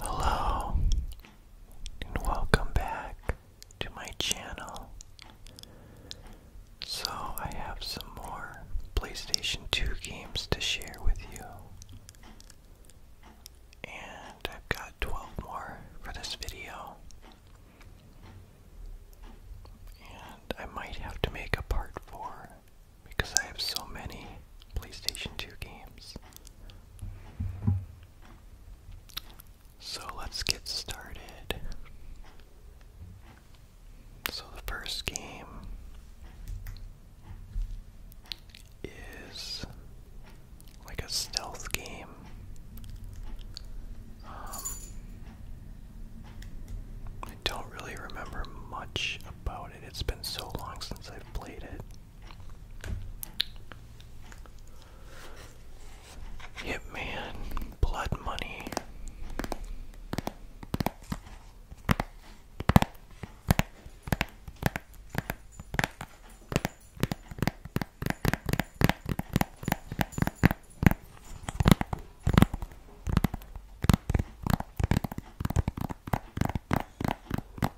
Hello, and welcome back to my channel. So, I have some more PlayStation 2 games to share with you, and I've got 12 more for this video. And I might have to make a part 4 because I have so many PlayStation 2 games. So let's get started. So the first game is like a stealth game. Um, I don't really remember much about it. It's been so long since I've played it. Hitman, Blood Money. I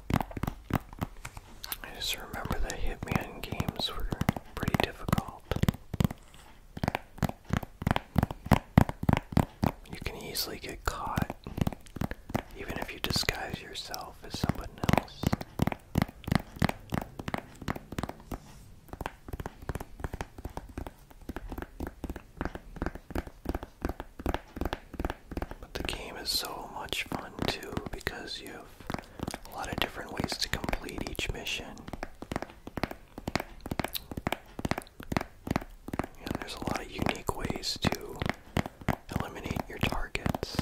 just remember the Hitman games were pretty difficult. You can easily get caught, even if you disguise yourself as someone else. But the game is so much fun too because you have a lot of different ways to complete each mission. And there's a lot of unique ways to eliminate your targets.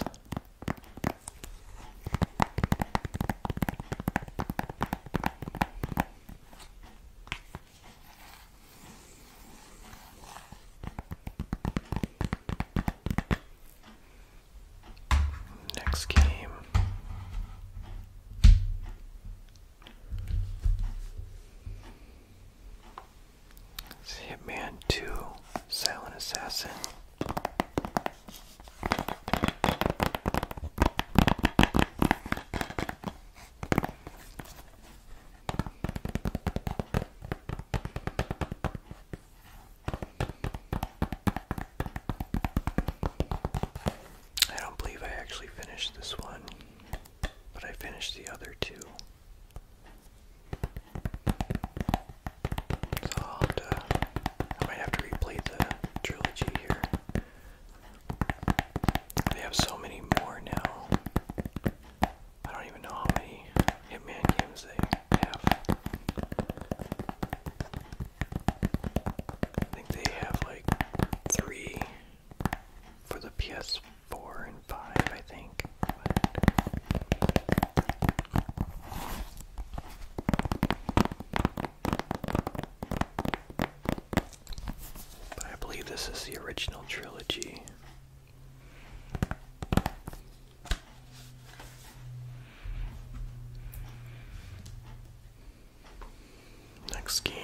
Next game. It's Hitman 2 Silent Assassin. I don't believe I actually finished this one, but I finished the other two. So i might have to replay the trilogy here. They have so many more now. I don't even know how many Hitman games they have. I think they have like three for the PS4 and 5, I think. But I believe this is the original trilogy Next game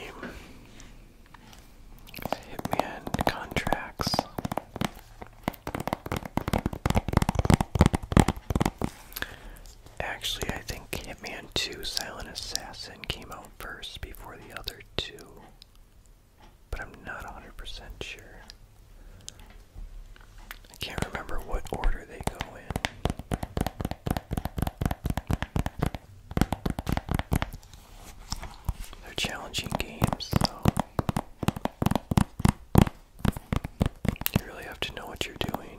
Hitman Contracts. Actually, I think Hitman 2 Silent Assassin came out first before the other two but I'm not 100% sure. I can't remember what order they go in. They're challenging games, so you really have to know what you're doing.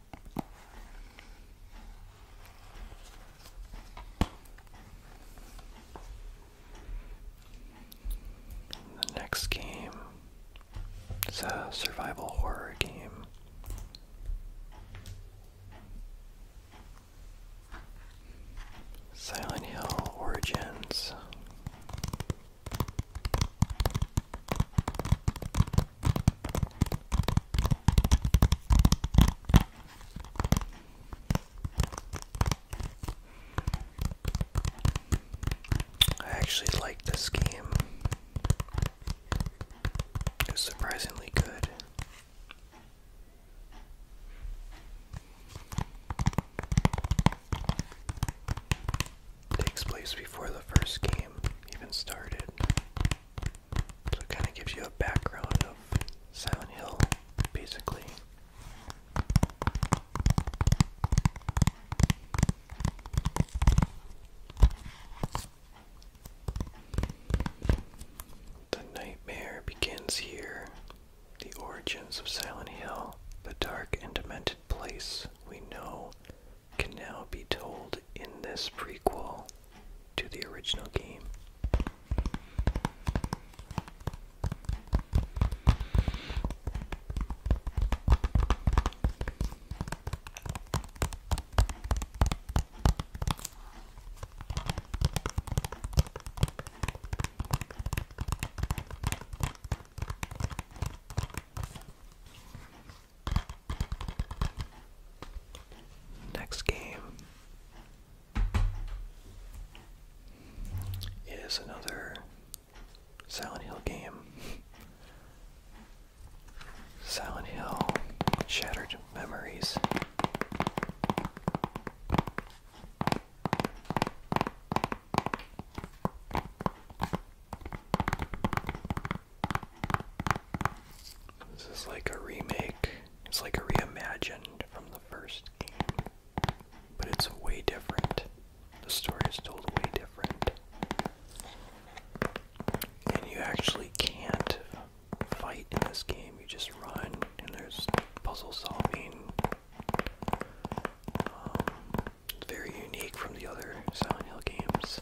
The next game is a survival horror game. Silent Hill Origins. I actually like this game. It's surprisingly good. takes place before the first game even started. So it kind of gives you a background of Silent Hill, basically. The nightmare begins here. The origins of Silent Hill, the dark and demented place we know, can now be told in this prequel to the original game. Next game is another Silent Hill game. Silent Hill Shattered Memories. This is like a remake it's like a reimagined from the first game, but it's way different. The story is told a way different. And you actually can't fight in this game, you just run, and there's puzzle solving. Um, very unique from the other Silent Hill games.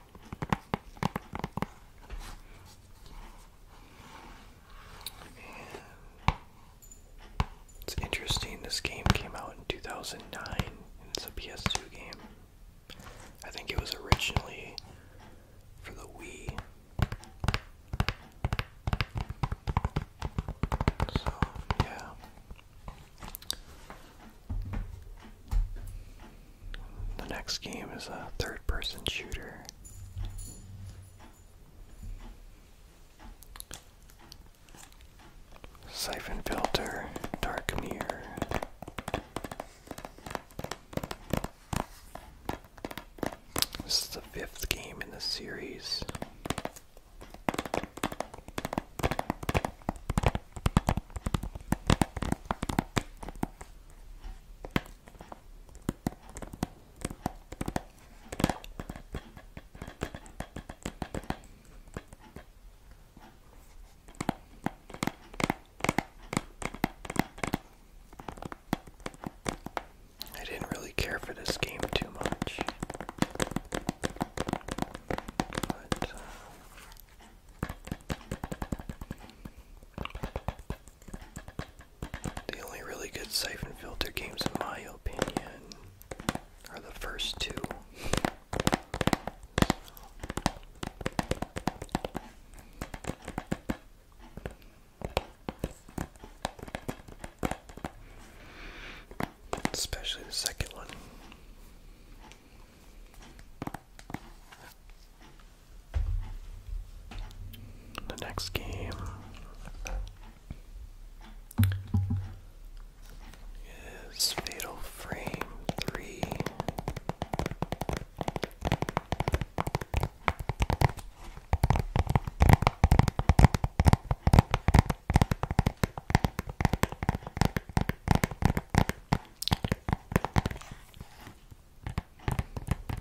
it's interesting, this game came out in 2009, it's a PS2 game. I think it was originally for the Wii. So, yeah. The next game is a third person shooter. Siphon filter, dark mirror. This is the fifth game in the series. I didn't really care for this game too much. But, uh, the only really good siphon filter games, in my opinion, are the first two. Especially the second one. The next game is Fatal Frame 3.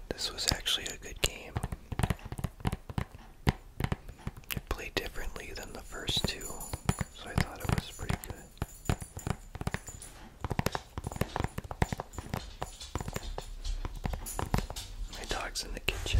This was actually a good game. It played differently than the first two, so I thought it was pretty good. My dog's in the kitchen.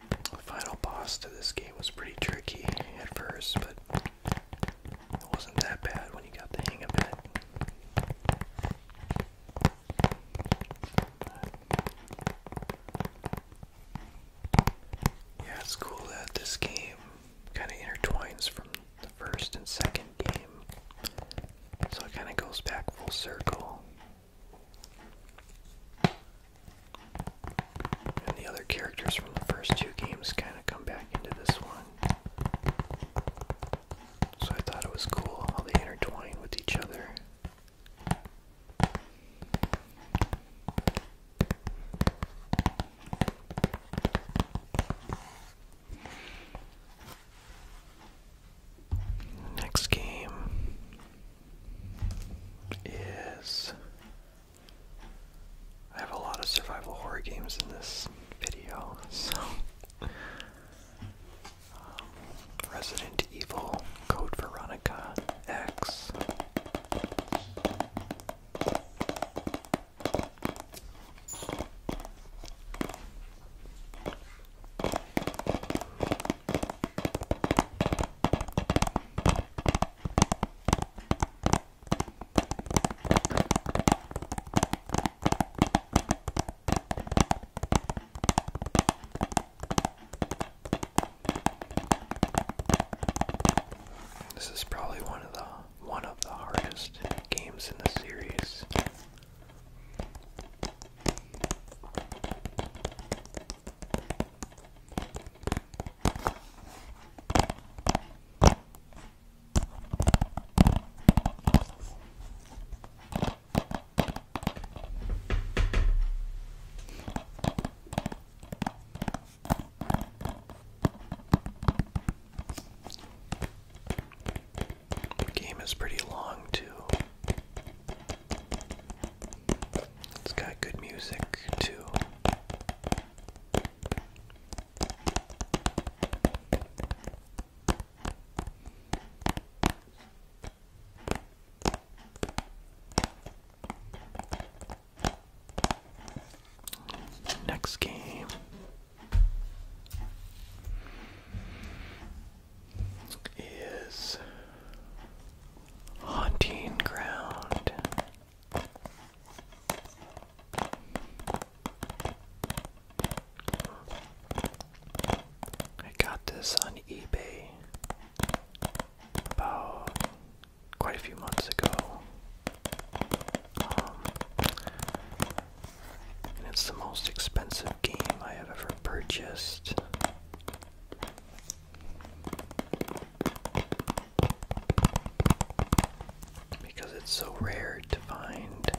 the final boss to this game was pretty tricky at first, but it wasn't that bad when you got the hang of it. Yeah, it's cool that this game kind of intertwines from the first and second game, so it kind of goes back full circle. And the other characters from the first two games kind of come back into this one. So I thought it was cool how they intertwine with each other. Next game is I have a lot of survival horror games in this video, so. Um, Resident Evil, Code Veronica, X. This is probably one of the one of the hardest games in the series. The game is pretty long, too. It's got good music, too. Next game. Is Haunting Ground I got this on eBay about quite a few months ago. Um, and it's the most expensive game I have ever purchased because it's so rare to find.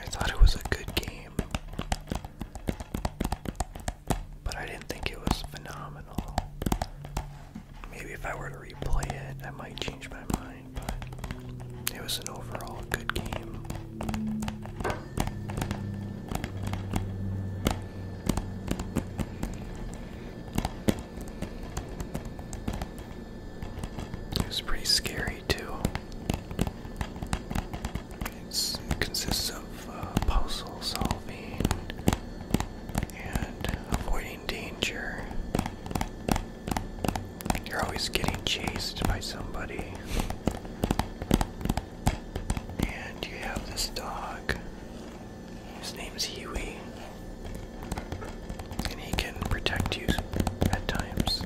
I thought it was a good game, but I didn't think it was phenomenal. Maybe if I were to replay it, I might change my mind, but it was an overall good game. It was pretty scary too. it consists of uh, puzzle solving and avoiding danger. You're always getting chased by somebody. And you have this dog. His name's Huey. And he can protect you at times.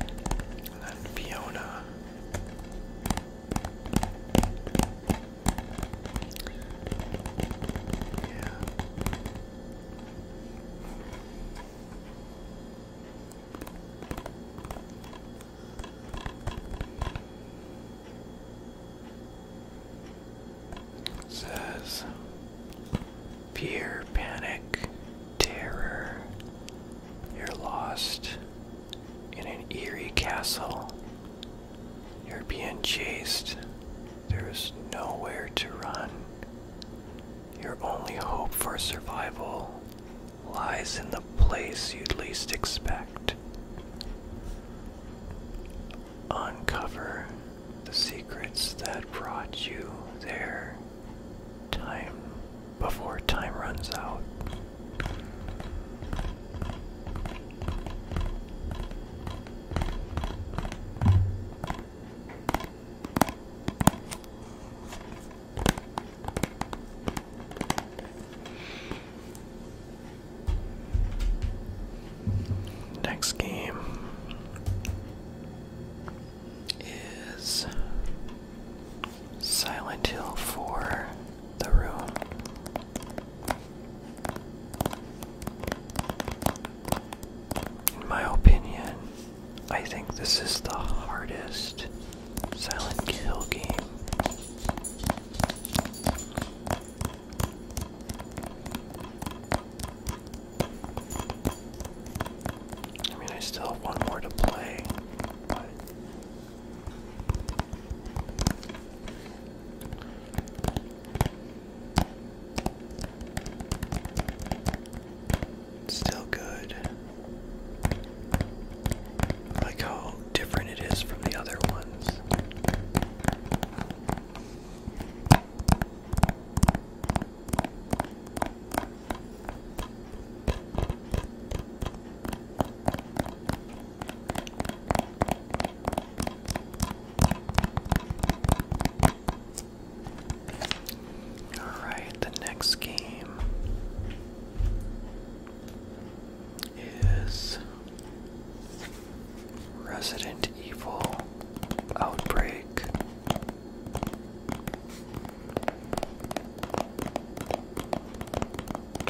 And then Fiona. Yeah says fear, panic, terror. You're lost in an eerie castle. You're being chased. There is nowhere to run. Your only hope for survival lies in the place you'd least expect. Uncover the secrets that brought you there time before time runs out. Next game is Silent Hill 4: the room. In my opinion, I think this is the hardest Silent kill game. I mean, I still have one more to play, it's still good. like how different it is from the other ones. All right, the next game is Resident Evil Outbreak.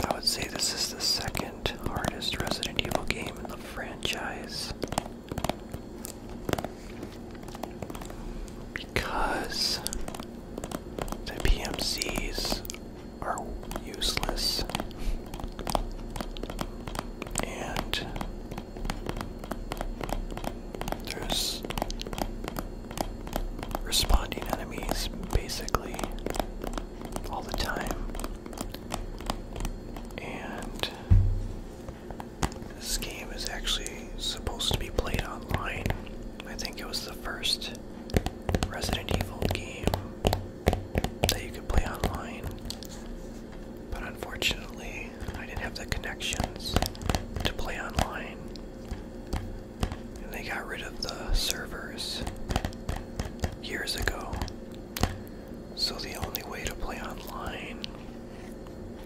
I would say this is the second hardest Resident Evil game in the franchise. Because the PMCs are useless. And there's responding enemies basically all the time. And this game is actually supposed to be played online. I think it was the first Resident Evil game that you could play online. But unfortunately, I didn't have the connections to play online. And they got rid of the servers years ago. So the only way to play online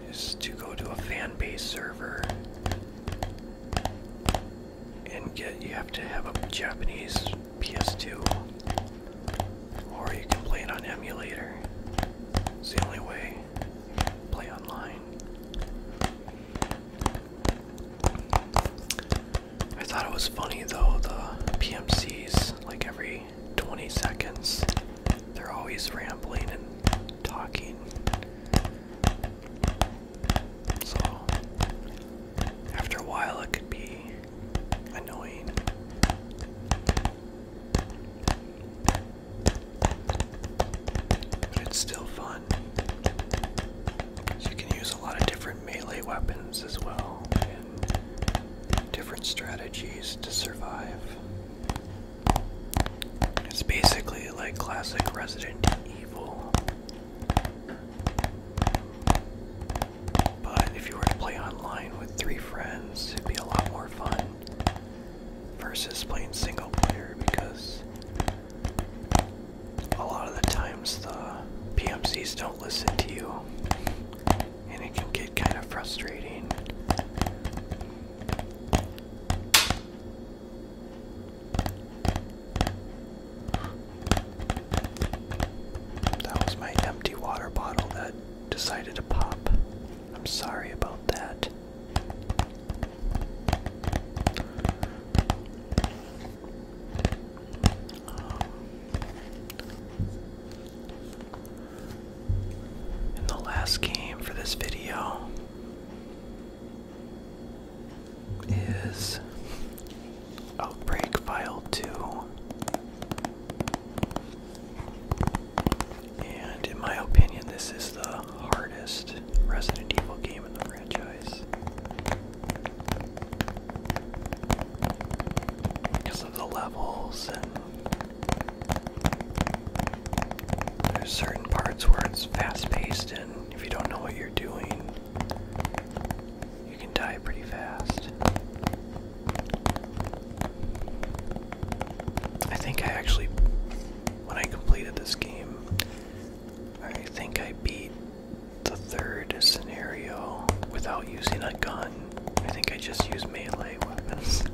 is to go to a fan base server and get you have to have a Japanese PS2 or you can play it on emulator. It's the only way play online. I thought it was funny though the PMCs like every 20 seconds they're always rambling and talking so, after a while, it could be annoying. But it's still fun. you can use a lot of different melee weapons as well, and different strategies to survive. It's basically like classic Resident Evil. But if you were to play online with three friends, it'd be a lot more fun versus playing single player because a lot of the times the PMCs don't listen to you and it can get kind of frustrating. That was my empty water bottle that decided to pop. I'm sorry about that. Um, the last game for this video is Outbreak File 2. And in my opinion, this is the hardest Resident Evil game in the franchise. Because of the levels, and there's certain parts where it's fast paced and if you don't know what you're doing, you can die pretty fast. I think I actually, when I completed this game, I think I beat the third scenario without using a gun. I think I just used melee weapons.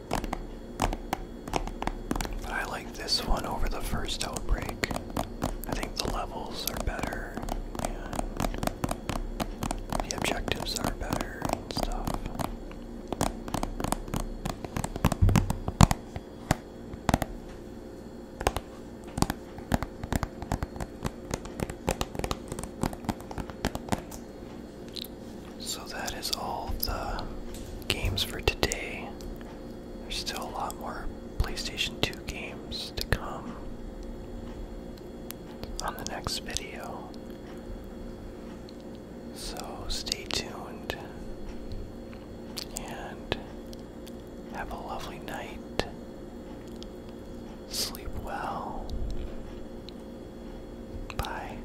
I like this one over the first outbreak. I think the levels are better the objectives are better and stuff. So that is all the games for today. There's still a lot more PlayStation 2 games to come on the next video. So stay tuned and have a lovely night. Sleep well. Bye.